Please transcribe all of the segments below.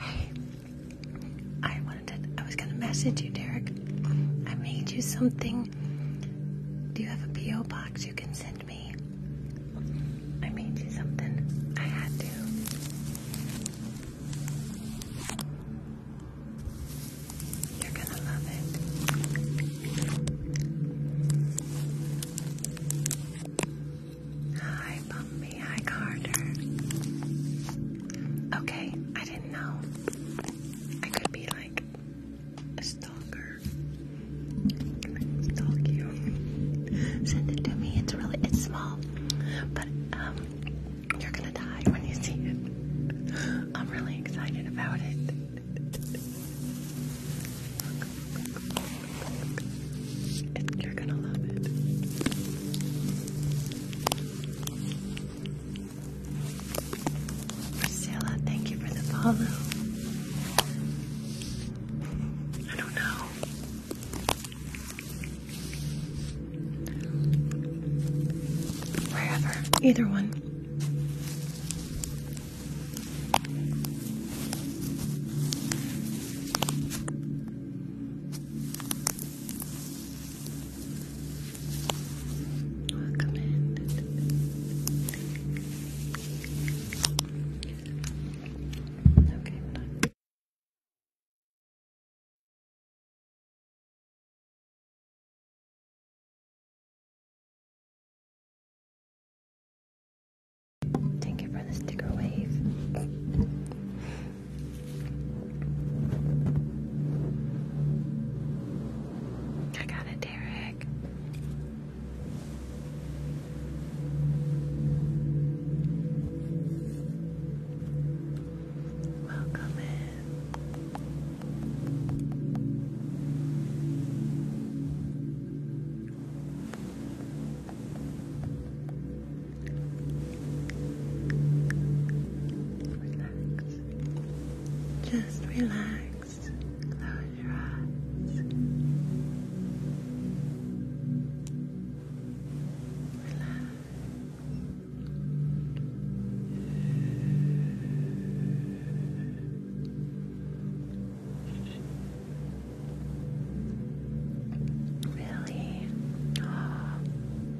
Hey, I wanted to, I was gonna message you, Derek. I made you something. Do you have a PO box you can send me? I made you something. I had to. You're gonna love it. Hi, Bumpy. Hi, Carter. Okay, I didn't know. I could be like a stalker. Stalk you. Send it to me. It's really it's small. But um, you're gonna die when you see it. I'm really excited about it. It, you're gonna love it. Priscilla, thank you for the follow. I don't know. Wherever, either one. Welcome in. Okay, Thank you for the sticker wave. I got it, Derek. Welcome in. Just relax. Close your eyes. Relax. Really?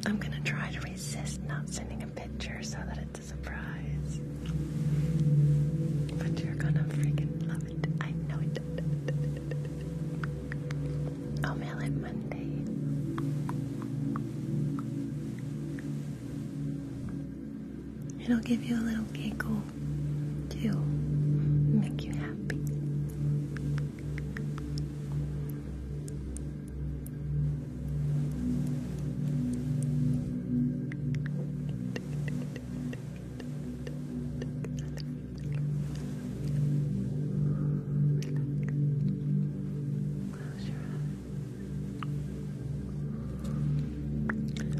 I'm going to try to resist not sending a picture so that it's a surprise. But you're going to freaking love it. I know it. I'll mail it Monday. It'll give you a little giggle too. Make you happy. Close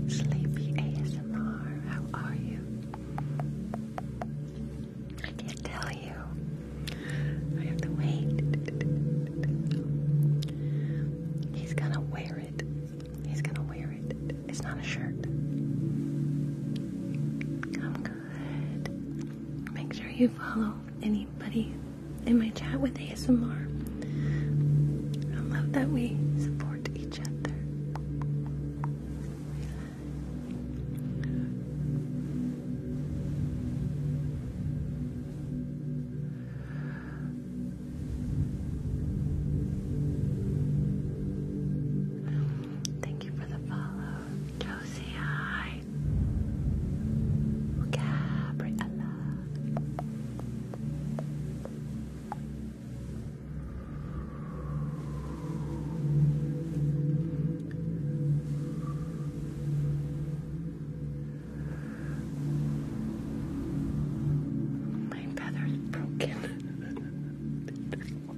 Sleepy ASMR, how are you? I can't tell you. I have to wait. He's gonna wear it. He's gonna wear it. It's not a shirt. i Make sure you follow anybody in my chat with ASMR. I love that we support each other. Thank you for the follow. Josie, hi. Gabriella. My feather's broken. Oh,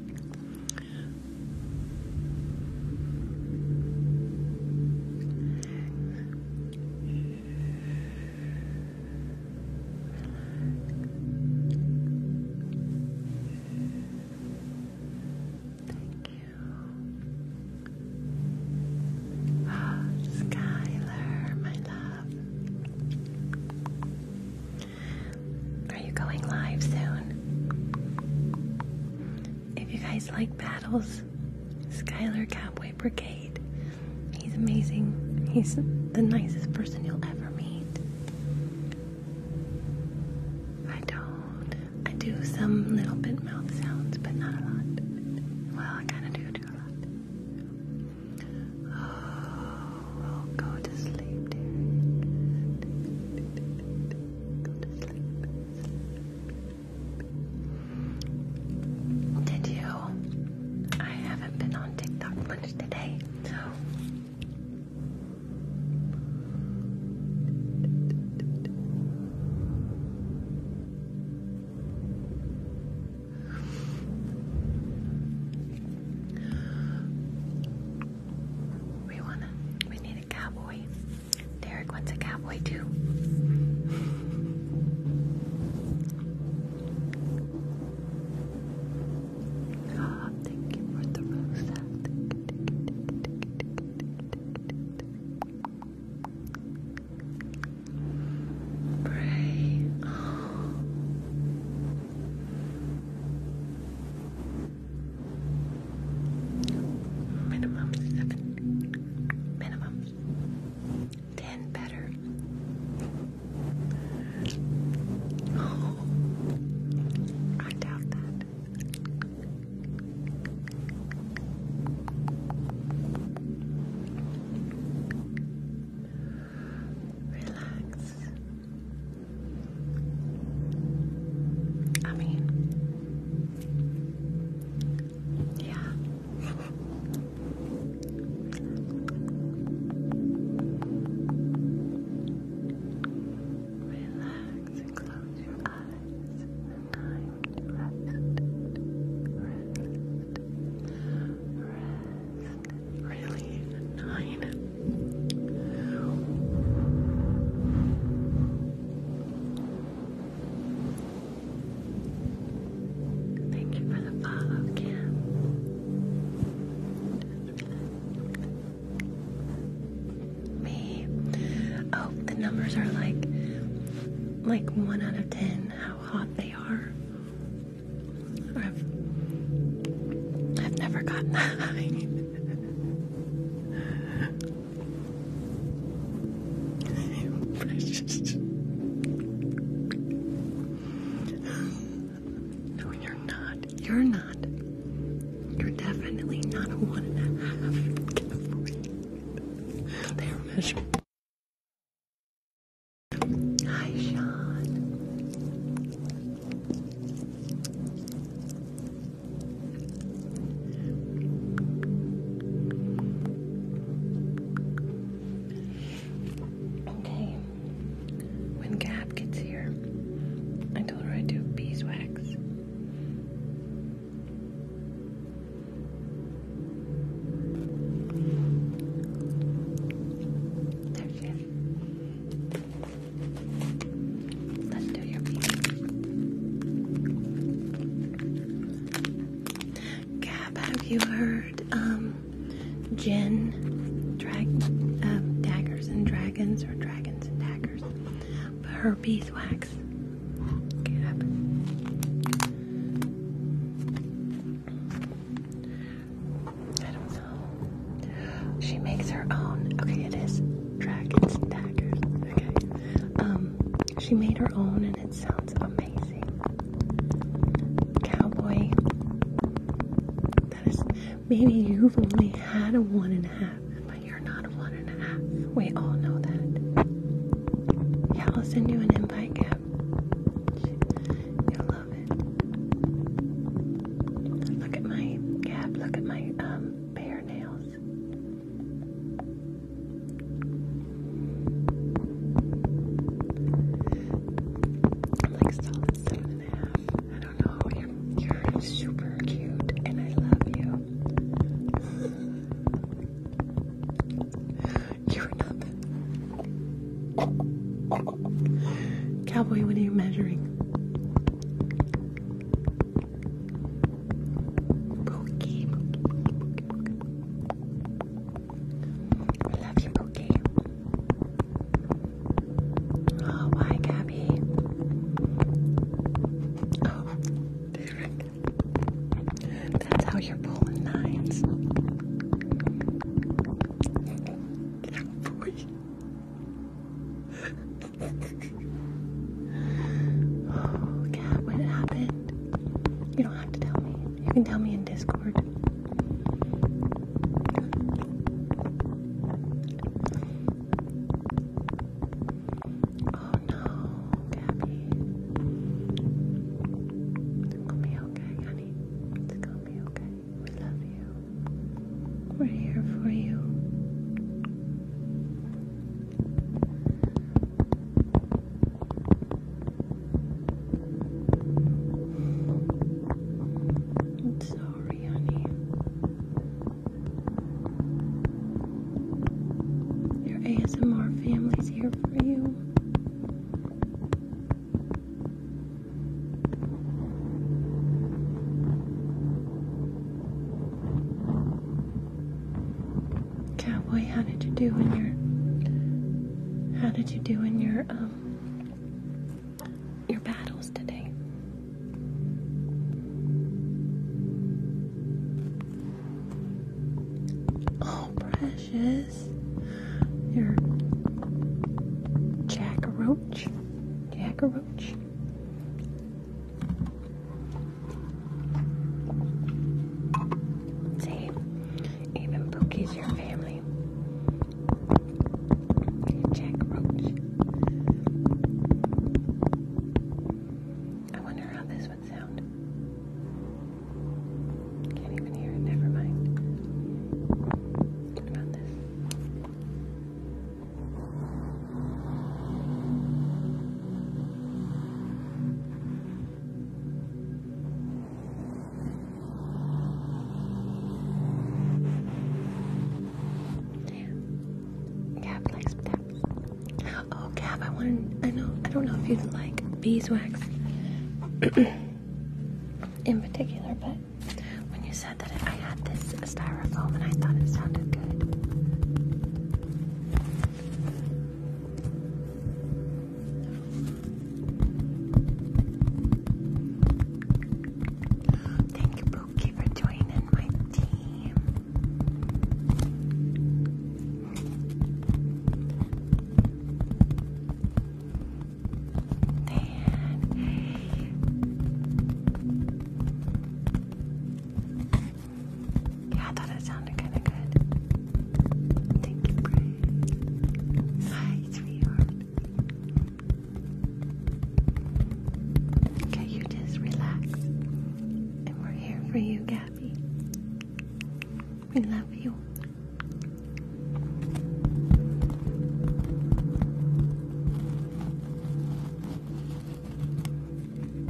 Skylar, my love. Are you going live soon? If you guys like battles, Skyler Cowboy Brigade. He's amazing. He's the nicest person you'll ever meet. I don't. I do some little bit mouth sounds, but not a lot. Well, I kind of do do a lot. Oh, go to sleep, dear. Did you? I haven't been on TikTok much today, so. We wanna, we need a cowboy. Derek wants a cowboy too. Ah, oh, thank you for the rosa. Pray. Minimum seven. Minimum. Ten better. Oh, I doubt that. Relax. I mean, yeah. Relax and close your eyes. Time rest. Rest. Rest. Really? Nine. Thank you for the follow, Kim. Me. Oh, the numbers are like like one out of ten how hot they are. I've I've never gotten that high. No, you're not. You're not. You're definitely not a one and a half. They are measured. Hi, Sean. Okay. When Gab gets here, I told her I'd do beeswax. There she is. Gab, have you heard um Jen drag uh, daggers and dragons or dragons and daggers? her beeswax. I don't know. She makes her own. Okay, it is dragons and daggers. Okay. Um, she made her own and it sounds amazing. Cowboy. That is maybe you've only had a one and a half, but you're not a one and a half. We all know that. Yeah, I'll an invite cap. You'll love it. Look at my cap, look at my um bare nails. I'm like seven and a half. I don't know. you're super cute, and I love you. You're nothing. Cowboy, what are you measuring? Pookie, Pookie, love you, Pookie. Oh, why, Gabby? Oh, there That's how you're pulling nines. yeah, boy oh, Kat, when happened, you don't have to tell me. You can tell me in Discord. Oh no, Gabby. It's gonna be okay, honey. It's gonna be okay. We love you. We're here for you. I'm sorry, honey. Your ASMR family's here for you. Cowboy, how did you do in your how did you do in your um your battles today? Oh precious. Your Jack Roach. Jack See, even Pookie's your family. Jack Roach. I wonder how this would sound. Can't even hear it, never mind. What about this? Gab likes taps. Oh, Gab, I wanted. I know. I don't know if you like beeswax in particular, but when you said that, I had this styrofoam, and I thought it sounded good. Thank you, Pookie, for joining my team. Yeah, I thought it sounded kind of good. Thank you, Brian. Hi, sweetheart. Okay, you just relax. And we're here for you, Gabby. We love you.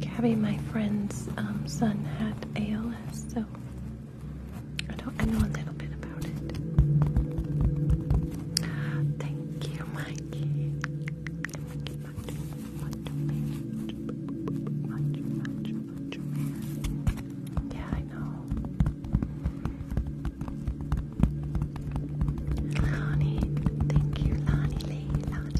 Gabby, my friend's son, had ALS, so I don't know a little bit about it. Thank you, Mikey. Mikey I thank you, Lonnie Lee, Lonnie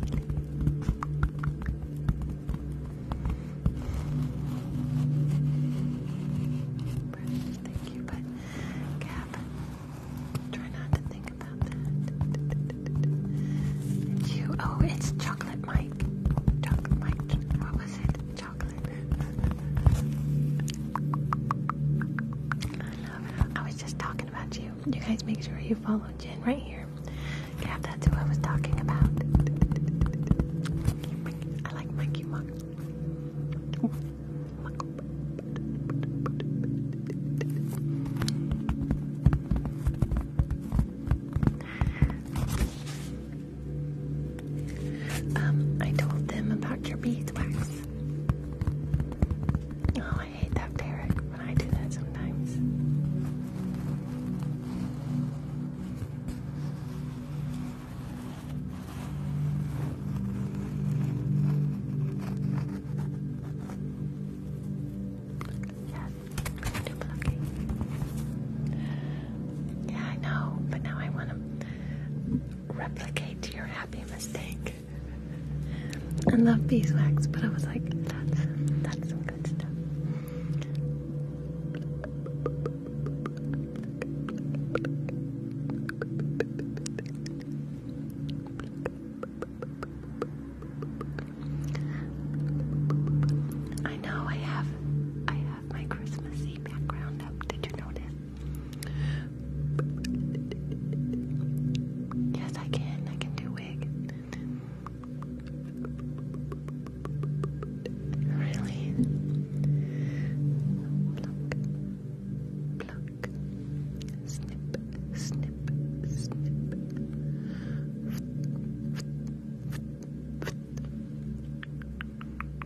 Lee. Thank you, but Gab, try not to think about that. you. Oh, it's Chocolate Mike. Chocolate Mike. What was it? I was just talking about you. You guys make sure you follow Jen right here. that's who I was talking about. I like monkey muck. Um, I told them about your beeswax. Oh, I hate that parrot when I do that sometimes. Yes, do yeah, I know, but now I want to replicate your happy mistake. I love beeswax, but I was like, that's that's some good stuff. I know I have I have have my Christmassy background up. Did you notice? Yes, I can. I can do wig. Really? snip, snip, snip.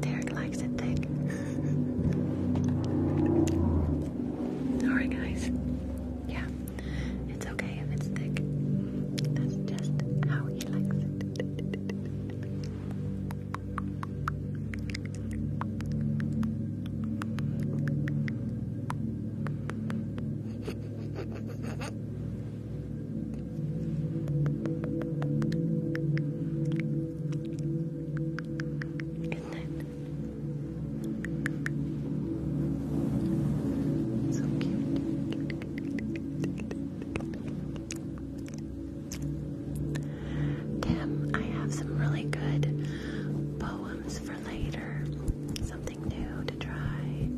Derek likes it thick. Alright, guys. Yeah, it's okay if it's thick. That's just how he likes it. Good night. So cute. Tim, I have some really good poems for later. Something new to try.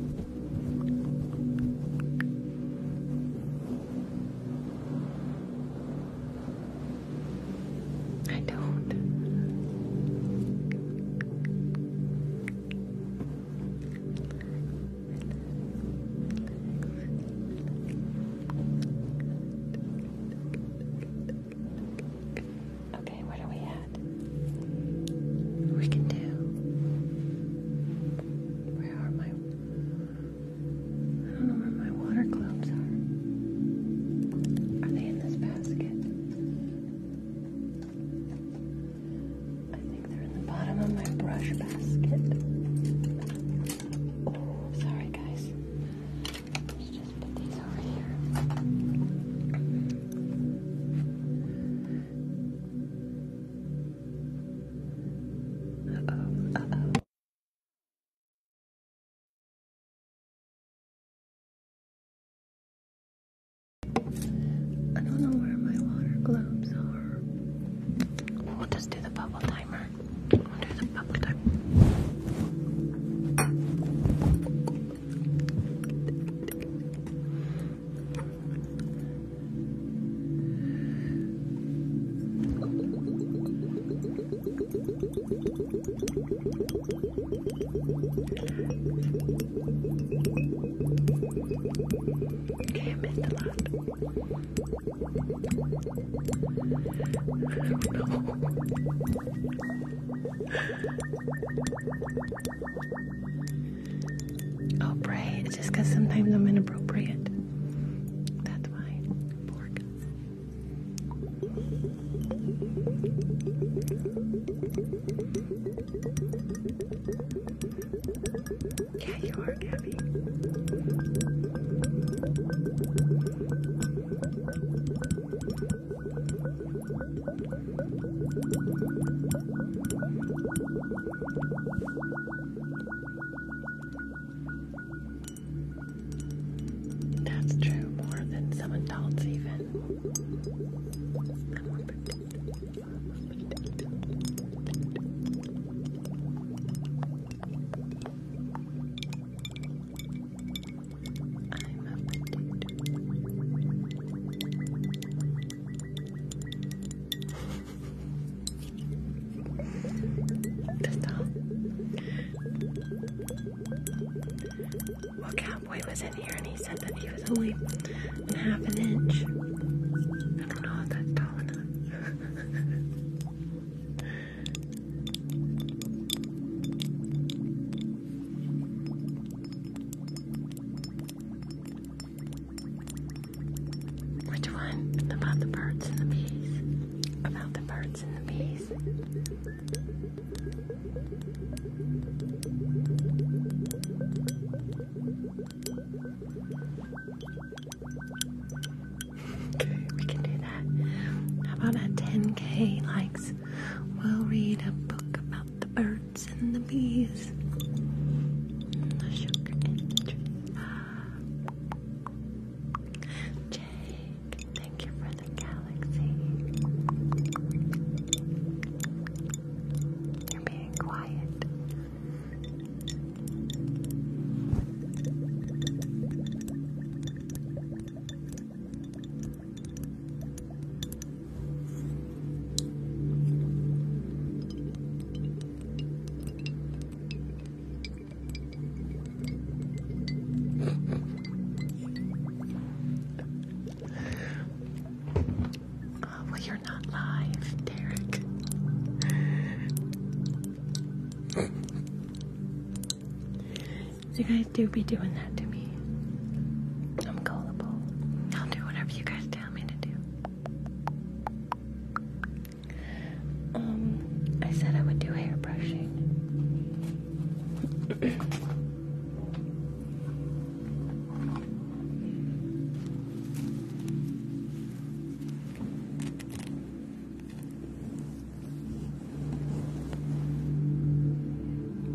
I don't. Okay, what are we at? We can do. Where are my I don't know where my water gloves are. Are they in this basket? I think they're in the bottom of my brush basket. Oh, sorry guys. Let's just put these over here. Uh-oh, oh I don't know where my water globes are. We'll do the bubble timer. do the bubble timer. Okay, I missed a lot. no. Oh, pray. It's just because sometimes I'm inappropriate. That's why pork. Yeah, you are, Gabby. That's true, more than some adults even. I'm a potato. Stop. Well, Cowboy was in here and he said that he was only half an inch. I don't know if that's tall enough. Which one? About the birds and the bees. About the birds and the bees. okay, we can do that. How about at 10k likes? We'll read a book about the birds and the bees. the sugar and Jake, thank you for the galaxy. You're being quiet. Oh, well, you're not live, Derek. you guys do be doing that to me. I'm gullible. I'll do whatever you guys tell me to do. Um, I said I would do hair brushing.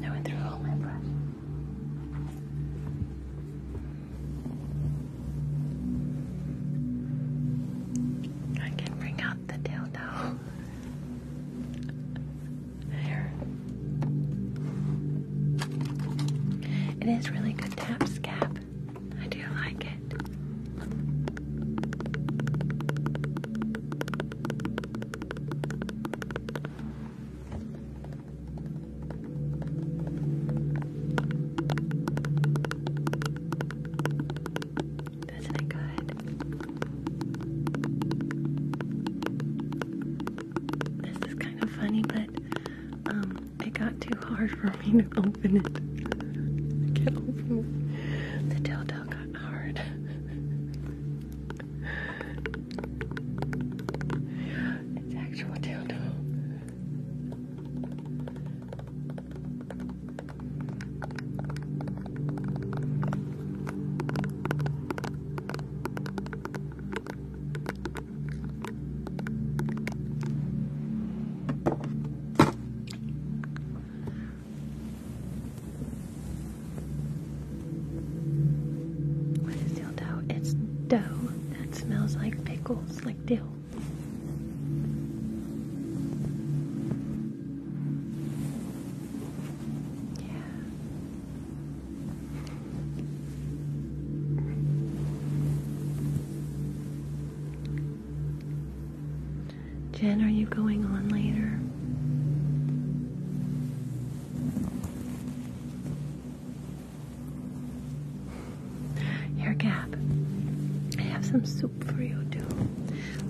I went through all my brush. I can bring out the dildo. there. It is really good tap scab. I do like it. Isn't it good? This is kind of funny, but um, it got too hard for me to open it. I can't open it. The dildo got hard. it's actual dildo. What is dill dough? It's dough that smells like pickles, like dill. Jen, are you going on later? Here, Gab, I have some soup for you, too.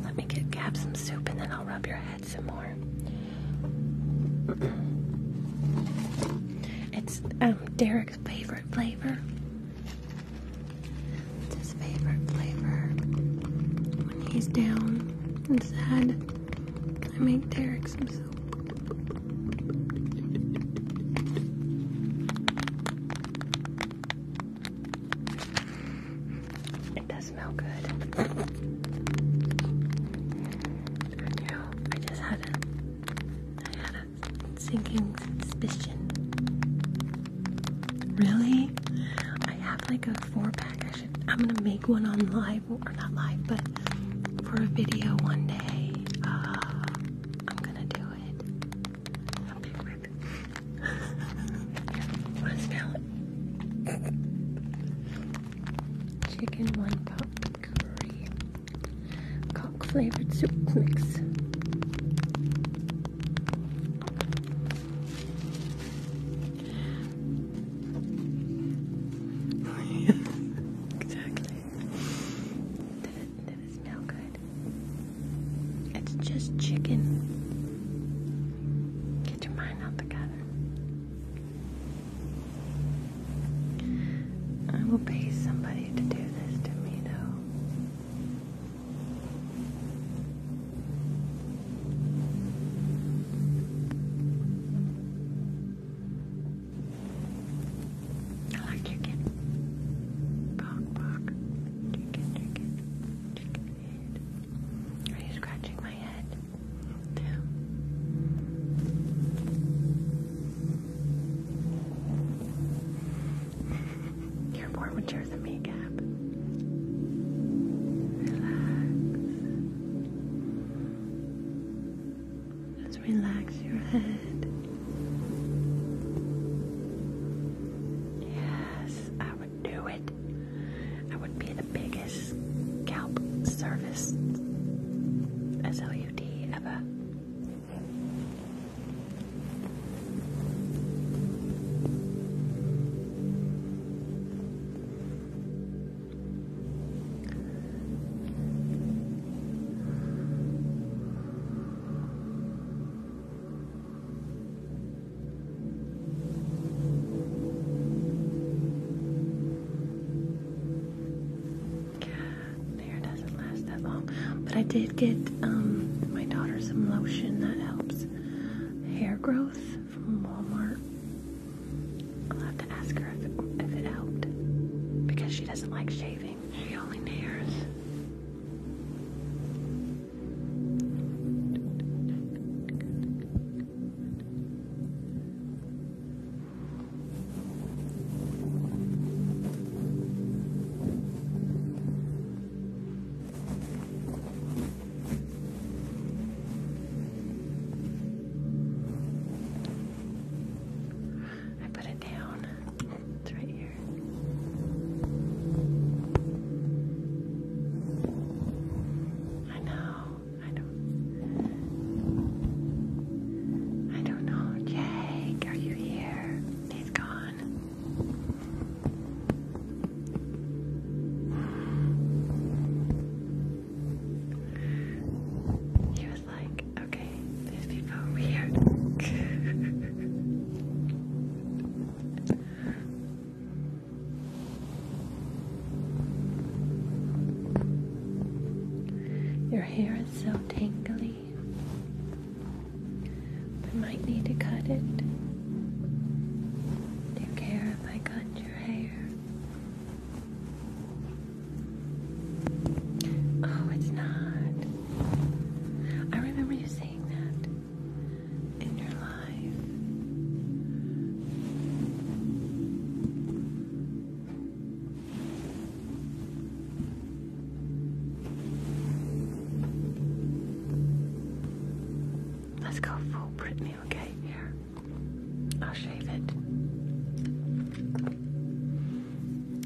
Let me get Gab some soup and then I'll rub your head some more. It's um, Derek's favorite flavor. his favorite flavor. When he's down and sad, I make Derek some soup. It does smell good. I just had a sinking suspicion. Really? I have like a four pack. I am gonna make one on live or not live, but for a video one day. Uh, I'm gonna do it i smell Chicken one pot curry. Cock flavored soup mix. exactly. That is no good? It's just chicken. Get your mind out together. I will pay somebody to do this to me, though. I like chicken. Bok bok. Are you scratching my head? No. You're more mature than me, Gab. Relax. Just relax your head. Yes, I would do it. I would be the biggest scalp service SLUD ever. Hair doesn't last that long, but I did get um, my daughter some lotion that helps hair growth from Walmart. I'll have to ask her if it, helped because she doesn't like shaving. She only nails. I put it down it's right here. I know. I don't. I don't know. Jake, are you here? He's gone. He was like, okay, these people weird. Your hair is so tangly. We might need to cut it. Do you care if I cut your hair. Oh, it's not. I remember you saying that in your life. Let's go full Brittany, okay? Here, I'll shave it.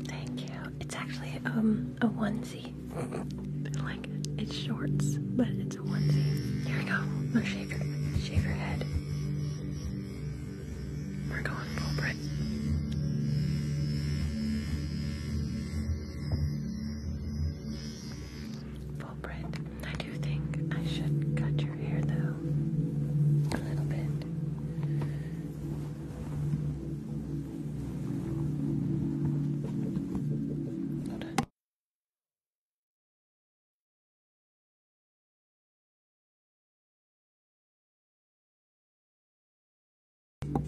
Thank you. It's actually um a onesie. like it's shorts, but it's a onesie. Here we go. Now shave your shave your head. We're going full Brit. Full Brit. I do think I should cut your hair though. A little bit.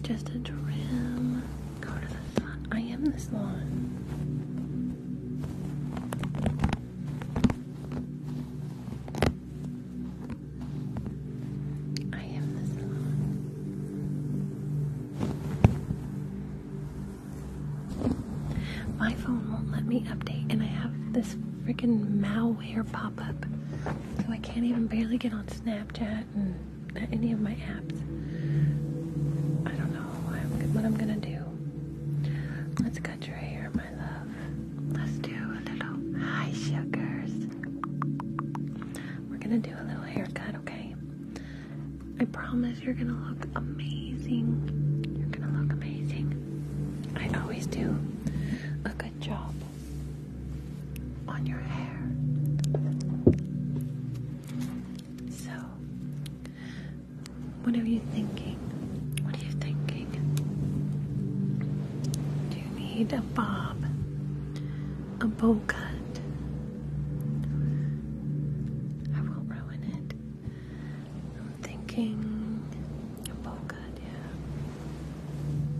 Just a trim. I am the salon. I am the salon. My phone won't let me update, and I have this freaking malware pop up. So I can't even barely get on Snapchat and any of my apps. I don't know I'm, what I'm gonna do. not know what i am going to do let us cut your hair, my love. Let's do a little high sugars. We're gonna do a little haircut, okay? I promise you're gonna look amazing. You're gonna look amazing. I always do a good job on your hair. So, what are you thinking? What are you thinking? Do you need a bob, a bow cut, I won't ruin it. I'm thinking a bowl cut, yeah.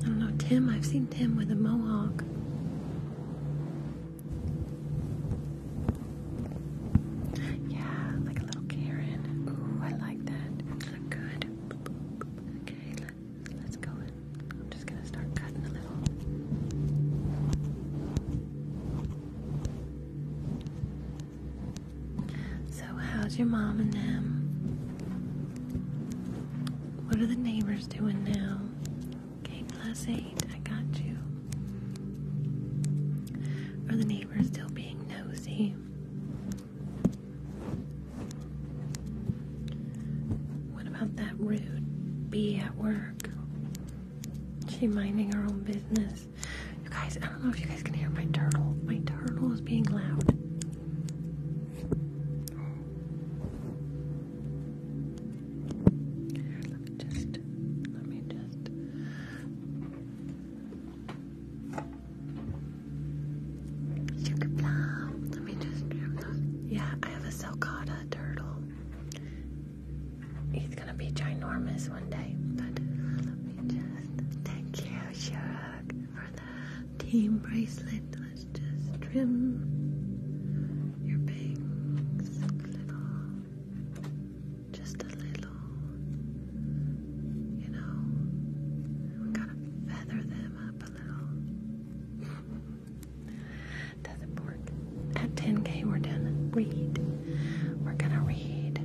I don't know, Tim, I've seen Tim with a mohawk. Yeah, like a little Karen. Ooh, I like that. Look good. Okay, let's go in. I'm just gonna start cutting a little. So, how's your mom and them? What are the neighbors doing now? Okay, plus eight, I got you. Are the neighbors still being nosy? What about that rude bee at work? work. She minding her own business. You guys, I don't know if you guys can hear my turtle. My turtle is being loud. let me just, let me just. Sugar plum. Let me just Yeah, I have a Salcata turtle. He's gonna be ginormous one day. But thank you, Shirok, for the team bracelet. Let's just trim your bangs little. Just a little. You know, gotta feather them up a little. to the port. At 10k, we're done. Read. We're gonna read.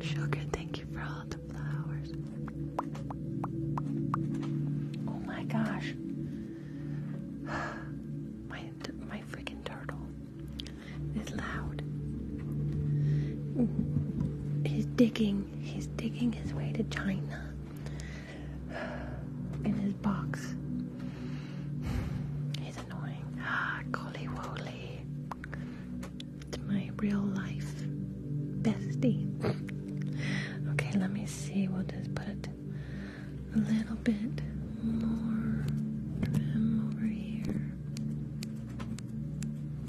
Sugar, thank you for all the flowers. Oh my gosh. My my freaking turtle is loud. He's digging. He's digging his way to China in his box. He's annoying. Ah, Collie Woolly. my real life bestie. okay, let me see. We'll just put a little bit more of over here.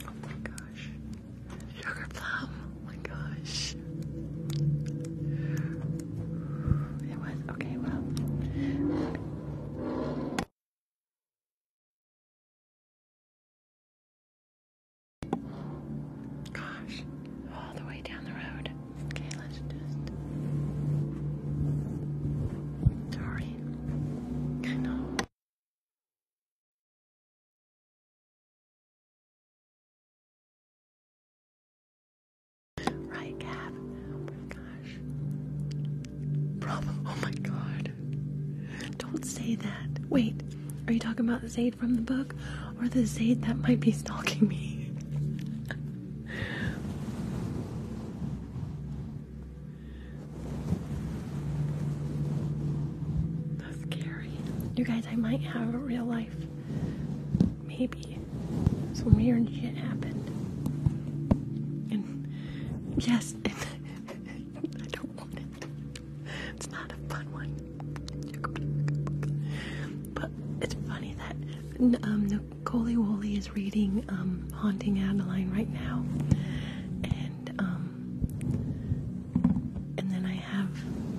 Oh my gosh. Sugar plum. Oh my gosh. It was okay, well. Gosh, all the way down the road. Okay, let's just. Sorry. I know. Right, Gav? Oh my gosh. Rob, oh my god. Don't say that. Wait, are you talking about the Zaid from the book or the Zaid that might be stalking me? That's scary. You guys, I might have a real life Maybe some weird shit happened. And yes, I don't want it. It's not a fun one. But it's funny that um, Nicole Woolley is reading um, Haunting Adeline right now. And, um, and then I have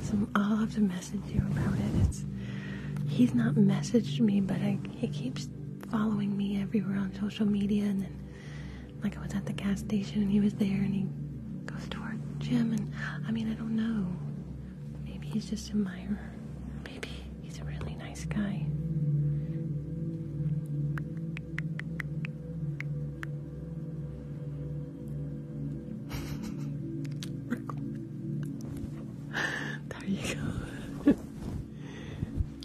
some, I'll have to message you about it. It's, he's not messaged me, but I he keeps following me everywhere on social media and then like I was at the gas station and he was there and he goes to our gym and I mean I don't know. Maybe he's just a admirer. Maybe he's a really nice guy. There you go.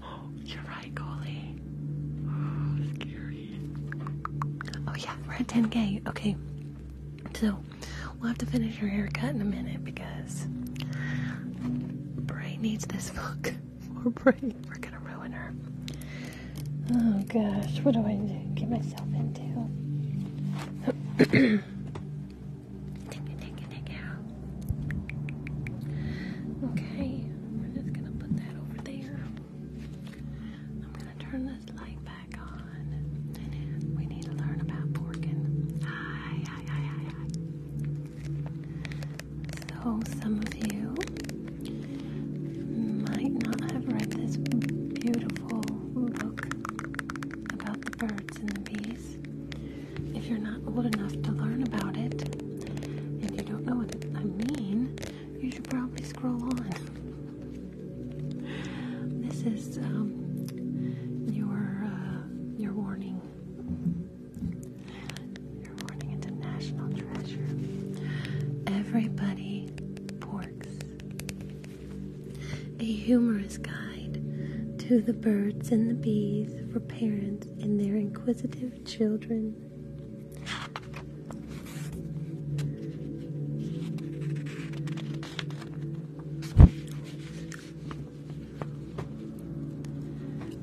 oh, you're right, Golly. Oh, scary. Oh yeah, we're at 10k. Okay. So we'll have to finish your haircut in a minute because Bray needs this look. Poor Bray. We're gonna ruin her. Oh gosh, what do I get myself into? Take it, take Okay, we're just gonna put that over there. I'm gonna turn this light back on. We need to learn about porking. Hi, hi, hi, hi, hi. So, some of you might not have read this beautiful book about the birds and the bees. If you're not old enough to learn about it, and you don't know what I mean, you should probably scroll on. This is um, your uh, your warning. Your warning into national treasure. Everybody porks a humorous guide to the birds and the bees for parents and their inquisitive children.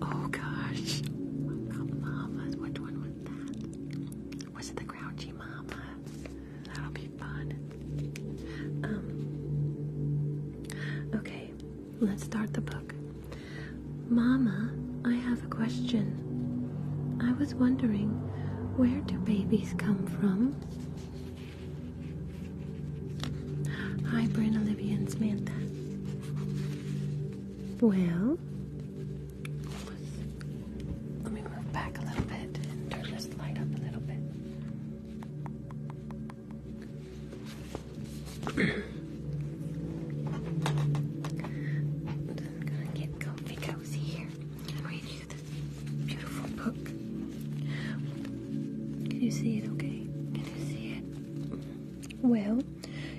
Oh gosh, the mamas. Which one was that? Was it the grouchy mama? That'll be fun. Um. Okay, let's start the book. Mama, I have a question. I was wondering, where do babies come from? Hi, Bryn, Olivia, and Samantha. Well, let me move back a little bit and turn this light up a little bit. I'm gonna get comfy cozy here. i you this beautiful book. Can you see it okay? Can you see it? Well,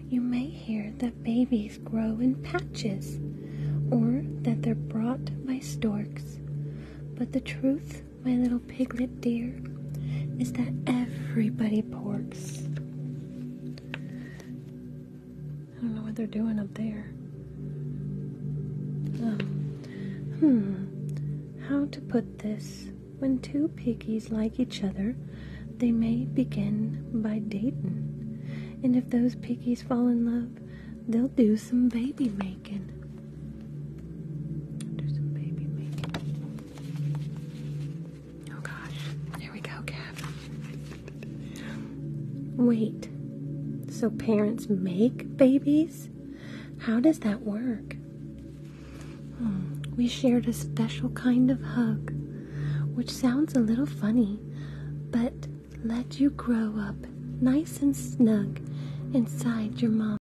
you may hear that babies grow in patches or that they're brought by storks, but the truth my little piglet dear, is that everybody porks. I don't know what they're doing up there. Um, hmm. How to put this? When two piggies like each other, they may begin by datin', And if those piggies fall in love, they'll do some baby making. Oh gosh. There we go, Cap. Wait. So parents make babies? How does that work? Hmm. We shared a special kind of hug, which sounds a little funny, but let you grow up nice and snug inside your mom.